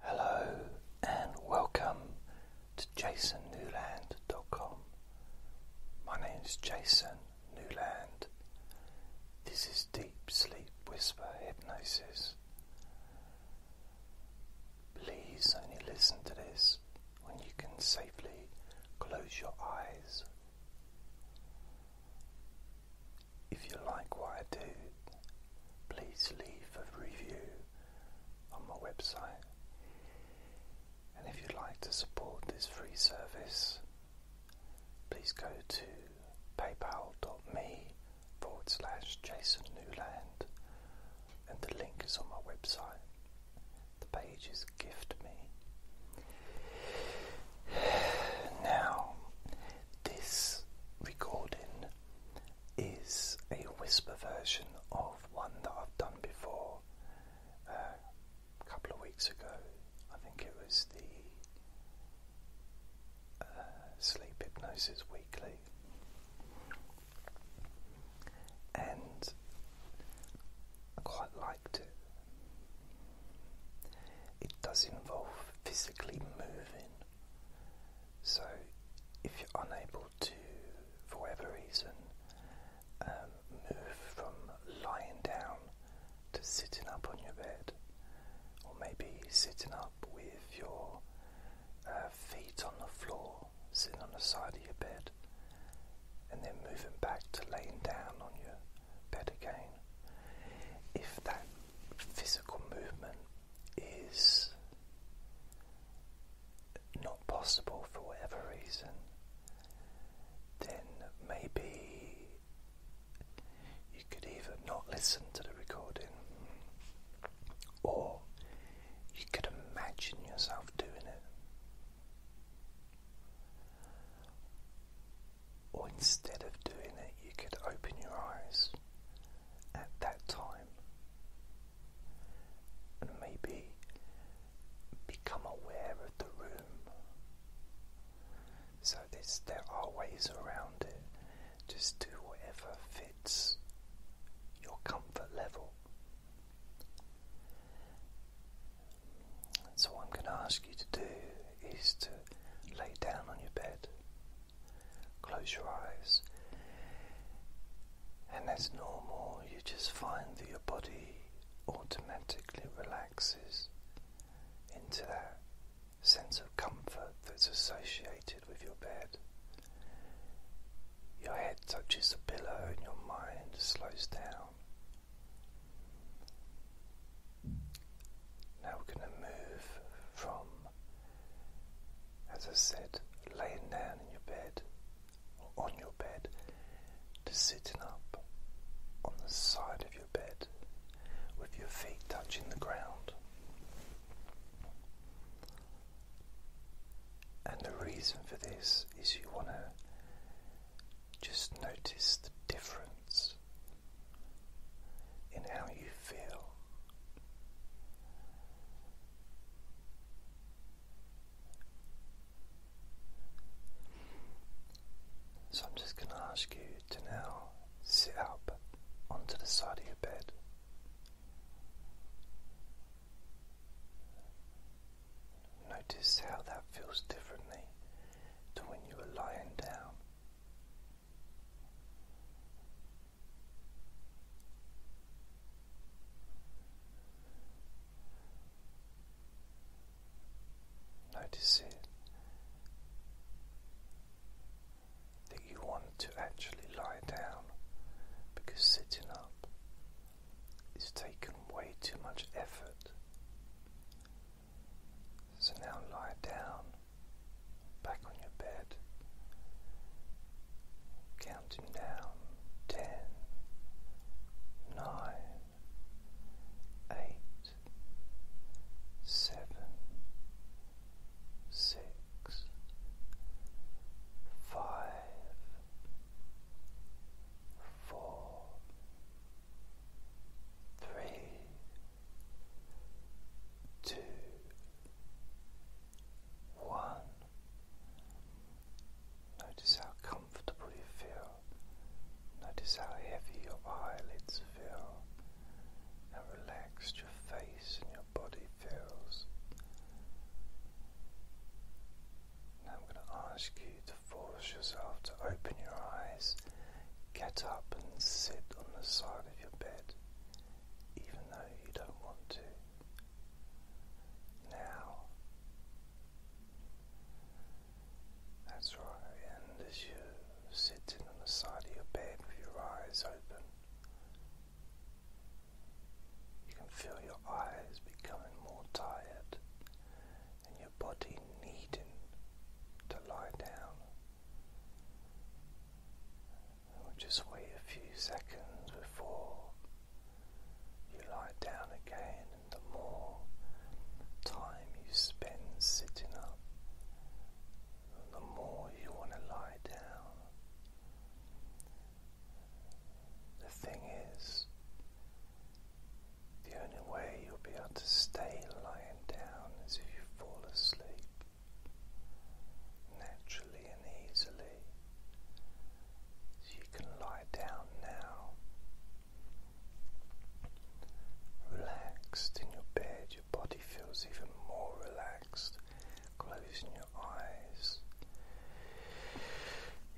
Hello and welcome to jasonnewland.com. My name is Jason Newland. This is Deep Sleep Whisper Hypnosis. Please only listen to this when you can safely close your eyes. If you like what I do, please leave a review on my website. And if you'd like to support this free service, please go to paypal.me jasonnewland and the link is on my website. The page is Gift Me. Now, this recording is a whisper version of one that I've done before uh, a couple of weeks ago. I think it was the uh, Sleep Hypnosis Weekly. And I quite liked it. It does involve physically moving so, if you're unable to, for whatever reason, um, move from lying down to sitting up on your bed, or maybe sitting up with your uh, feet on the floor, sitting on the side of your bed, and then moving back to laying down on your bed again. If that physical movement is not possible for whatever reason, then maybe you could even not listen to the recording or you could imagine yourself doing it. Or instead of doing it, you could open your eyes at that time and maybe become aware of the room. So there are ways around it. Just do whatever fits your comfort level. So I'm going to ask you to do is to lay down on your bed Close your eyes. And as normal, you just find that your body automatically relaxes into that sense of comfort that's associated with your bed. Your head touches the pillow and your mind slows down. Now we're going to move from as I said, laying down in your bed or on your bed to sitting up on the side of your bed with your feet touching the ground. And the reason for this is you want to just notice the difference in how you feel. So I'm just going to ask you to now sit up onto the side of your bed. Notice how that feels differently to when you were lying down. Notice it that you want to actually lie down because sitting up is taken way too much effort. So now lie down back on your bed, counting down ten, nine, eight, seven, six, five, four, three two, one. Notice how comfortable you feel. Notice how heavy your eyelids feel. How relaxed your face and your body feels. Now I'm going to ask you to force yourself to open your eyes get up and sit on the side of your bed, even though you don't want to. Now, that's right, and as you're sitting on the side of your bed with your eyes open, you can feel your eyes becoming more tired and your body needing to lie down we'll just wait a few seconds before you lie down again, and the more time you spend sitting up, the more you want to lie down. The thing is, the only way you'll be able to stay lying down is if you fall asleep naturally and easily. you can lie down now, relaxed in your bed, your body feels even more relaxed. Closing your eyes,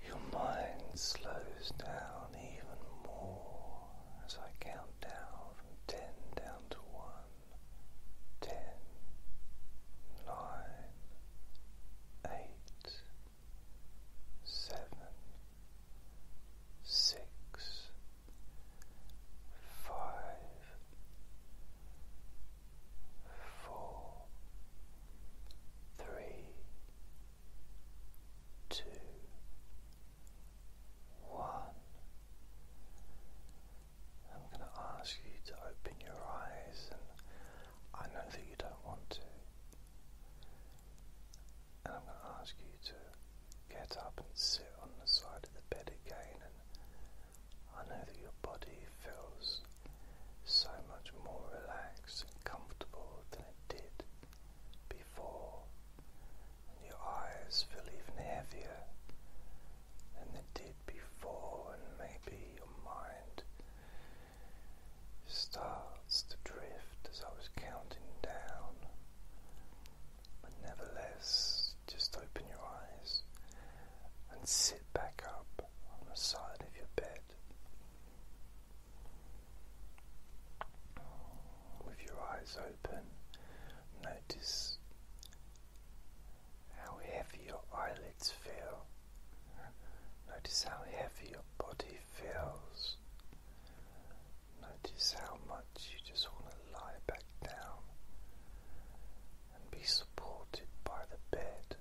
your mind slows down even more as I count down from ten down to one, ten, nine, eight, seven, six, five, four, three, two one. I'm going to ask you to open your eyes, and I know that you don't want to. And I'm going to ask you to get up and sit on the side of the bed again. And I know that your body feels so much more relaxed and comfortable than it did before before, and your eyes feel even heavier than they did before, and maybe your mind starts to drift as I was counting down. But nevertheless, just open your eyes and sit back up on the side of your bed with your eyes open. Notice how heavy your eyelids feel. Notice how heavy your body feels. Notice how much you just want to lie back down and be supported by the bed.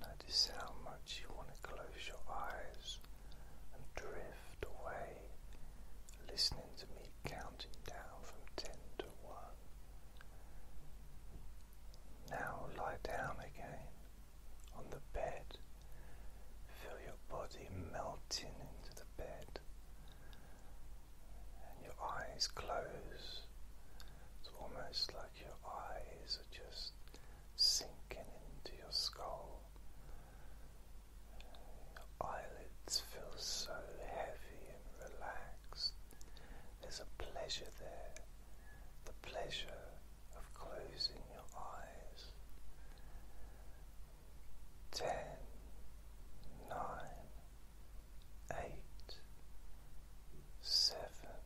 Notice how much you want to close your eyes and drift away, listening to me counting down from ten to one. Now lie down again on the bed. Feel your body melting into the bed and your eyes close. It's almost like your eyes are just sinking into your skull. Your eyelids feel so heavy and relaxed. There's a pleasure there, the pleasure of closing your eyes. Ten, nine, eight, seven,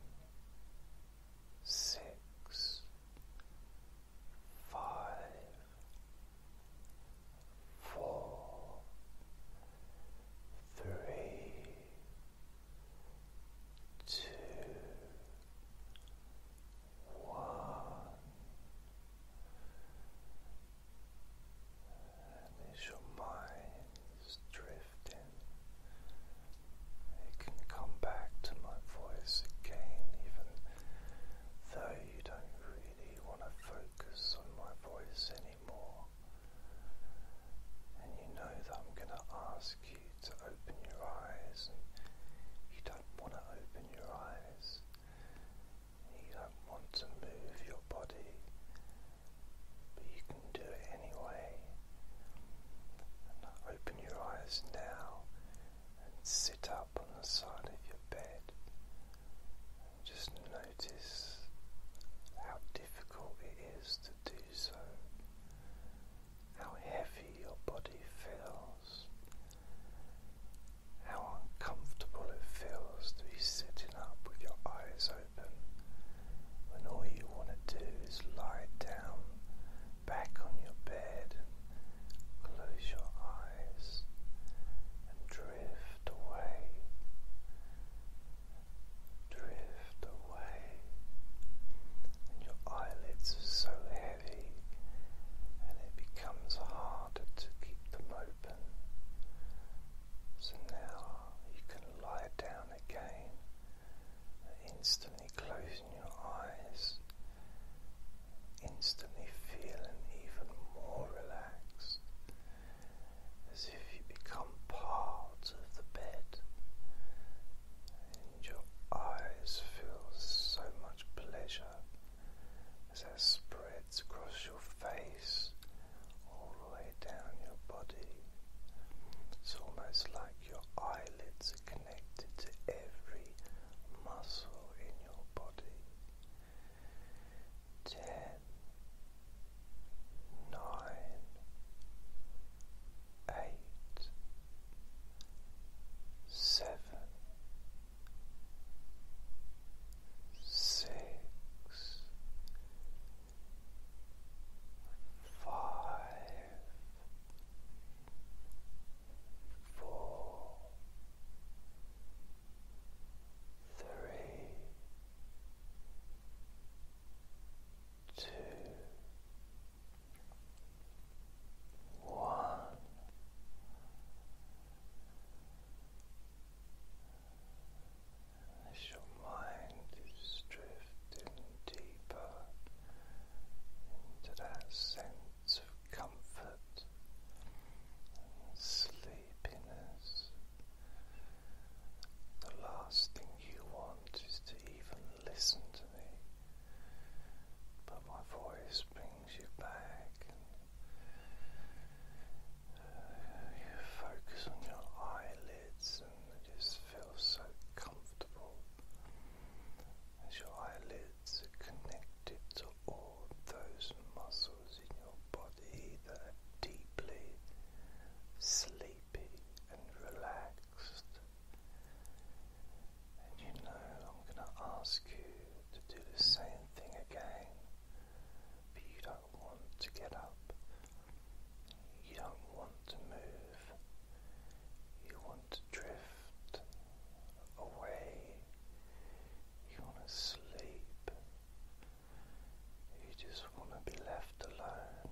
six, five, four, three, two, one. And as your mind is drifting, it can come back to my voice again, even though you don't really want to focus on my voice anymore. And you know that I'm going to ask you to open your eyes, you don't want to open your eyes, you don't want to move your body, but you can do it anyway. And open your eyes now and sit up on the side of your bed and just notice how difficult it is to do so, how heavy your body feels, how uncomfortable it feels to be sitting up with your eyes open when all you want to do is lie down back on your bed and close your eyes and drift away, drift away, and your eyelids are so heavy and it becomes harder to keep them open. So now you can lie down again and instantly close your eyes, instantly feeling even more relaxed, as if you become part of the bed, and your eyes feel so much pleasure as that spreads across your face all the way down your body. It's almost like your eyelids connected to every muscle in your body. Ten, nine, eight, seven, six, five, four, three, two, one. As your mind is drifting deeper into that sense of comfort sleepiness. The last thing you want is to even listen to me, but my voice brings you back. Uh, you focus on your eyelids and it just feels so comfortable as your eyelids connected to all those muscles in your body that are deeply sleepy and relaxed. And you know, I'm going to ask you to do the same thing again, but you don't want to get up, you don't want to move, you want to drift drift away. You want to sleep. You just want to be left alone.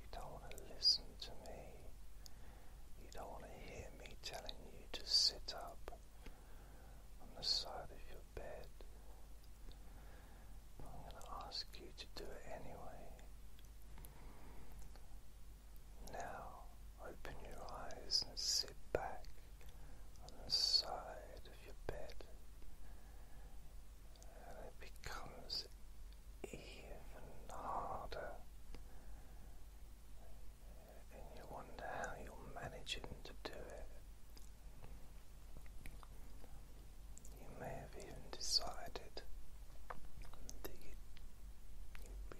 You don't want to listen to me. You don't want to hear me telling you to sit up on the side of your bed. I'm going to ask you to do it anyway. Now open your eyes and sit back on the side of your bed, and it becomes even harder. And you wonder how you're managing to do it. You may have even decided that you,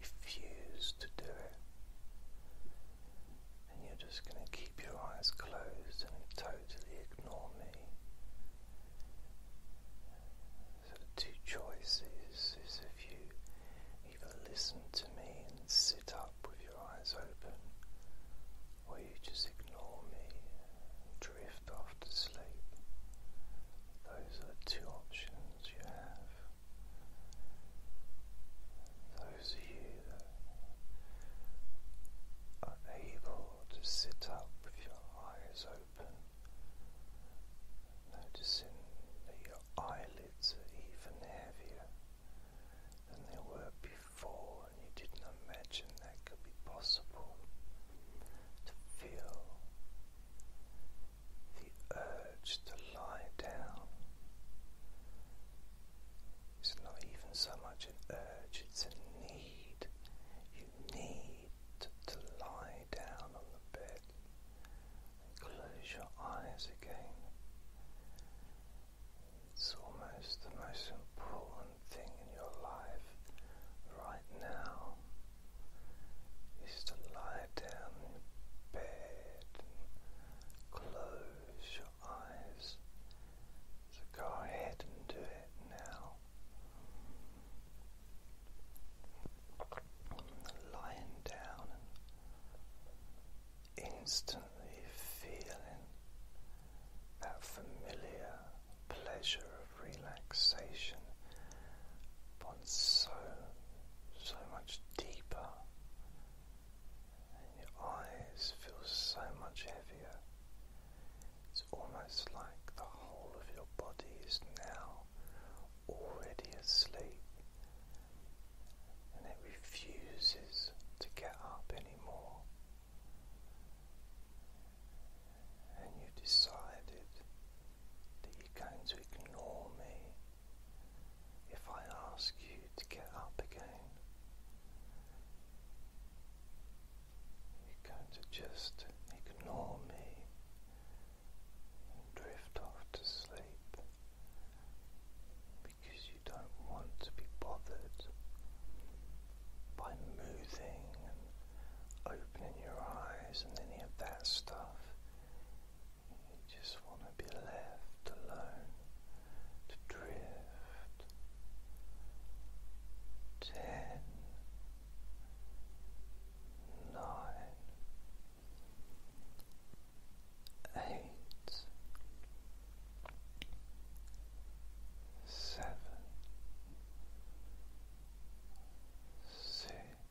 refuse to do it. And you're just going to keep your eyes closed and totally ignore me. So, two choices is if you either listen to me and sit up with your eyes open, or you just ignore me and drift off to sleep. Those are two options emotions you Those of you that are able to sit up with your eyes open, noticing that your eyelids are even heavier than they were before, and you didn't imagine that could be possible to feel the urge to lie down. It's not even so much an urge, it's a need. You need to, to lie down on the bed and close your eyes again. It's almost the most important thing in your life right now is to lie down in bed close your eyes. So go ahead and do it now. Lying down and instantly feeling that familiar pleasure relaxation, but so, so much deeper, your eyes feel so much heavier. It's almost like the whole of your body is now already asleep and it refuses to get up anymore. And you decided that you're going to ignore me if I ask you to get up again. You're going to just ignore me and drift off to sleep because you don't want to be bothered by moving opening your eyes and any of that stuff. You just want to be left alone to drift. Ten, nine, eight, seven, six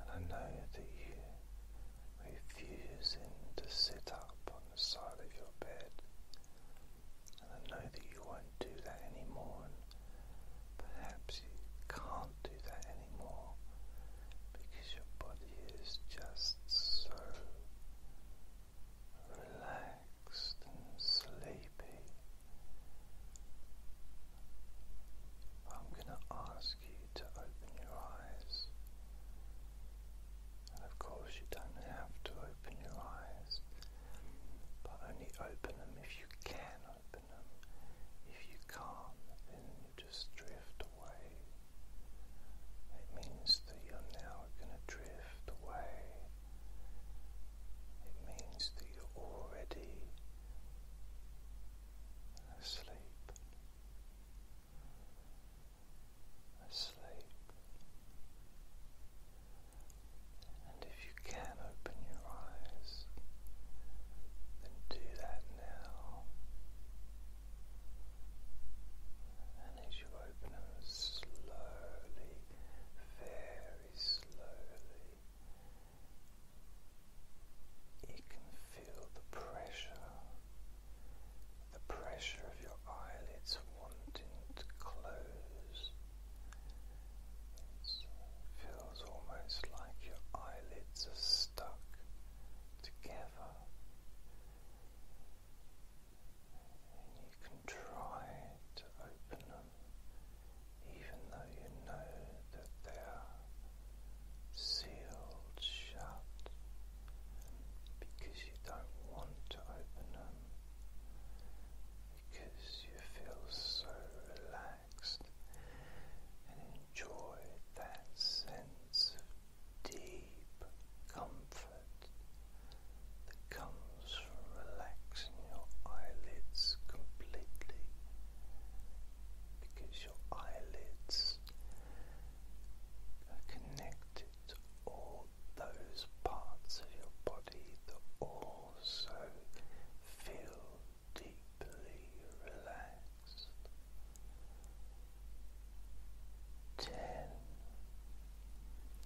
And I know that you refusing to sit up on the side of your bed. And I know that you won't do that anymore, perhaps you can't do that anymore because your body is just so relaxed and sleepy. I'm going to ask you to open your eyes. of course, you don't have to open your eyes, but only open them if you can open them. If you can't, then you just drift away. It means that you're now going to drift away it means that you're already asleep, asleep. And if you can open your eyes, then do that now. And as you open them slowly, very very slowly. You can feel the pressure, the pressure of your eyelids wanting to close. It feels almost like your eyelids are stuck together. And you can try to open them, even though you know that they are sealed shut because you don't want to open them, because you feel so relaxed and enjoy that sense of deep comfort that comes from relaxing your eyelids completely because your eyelids are connected all those parts of your body that also feel deeply relaxed. Ten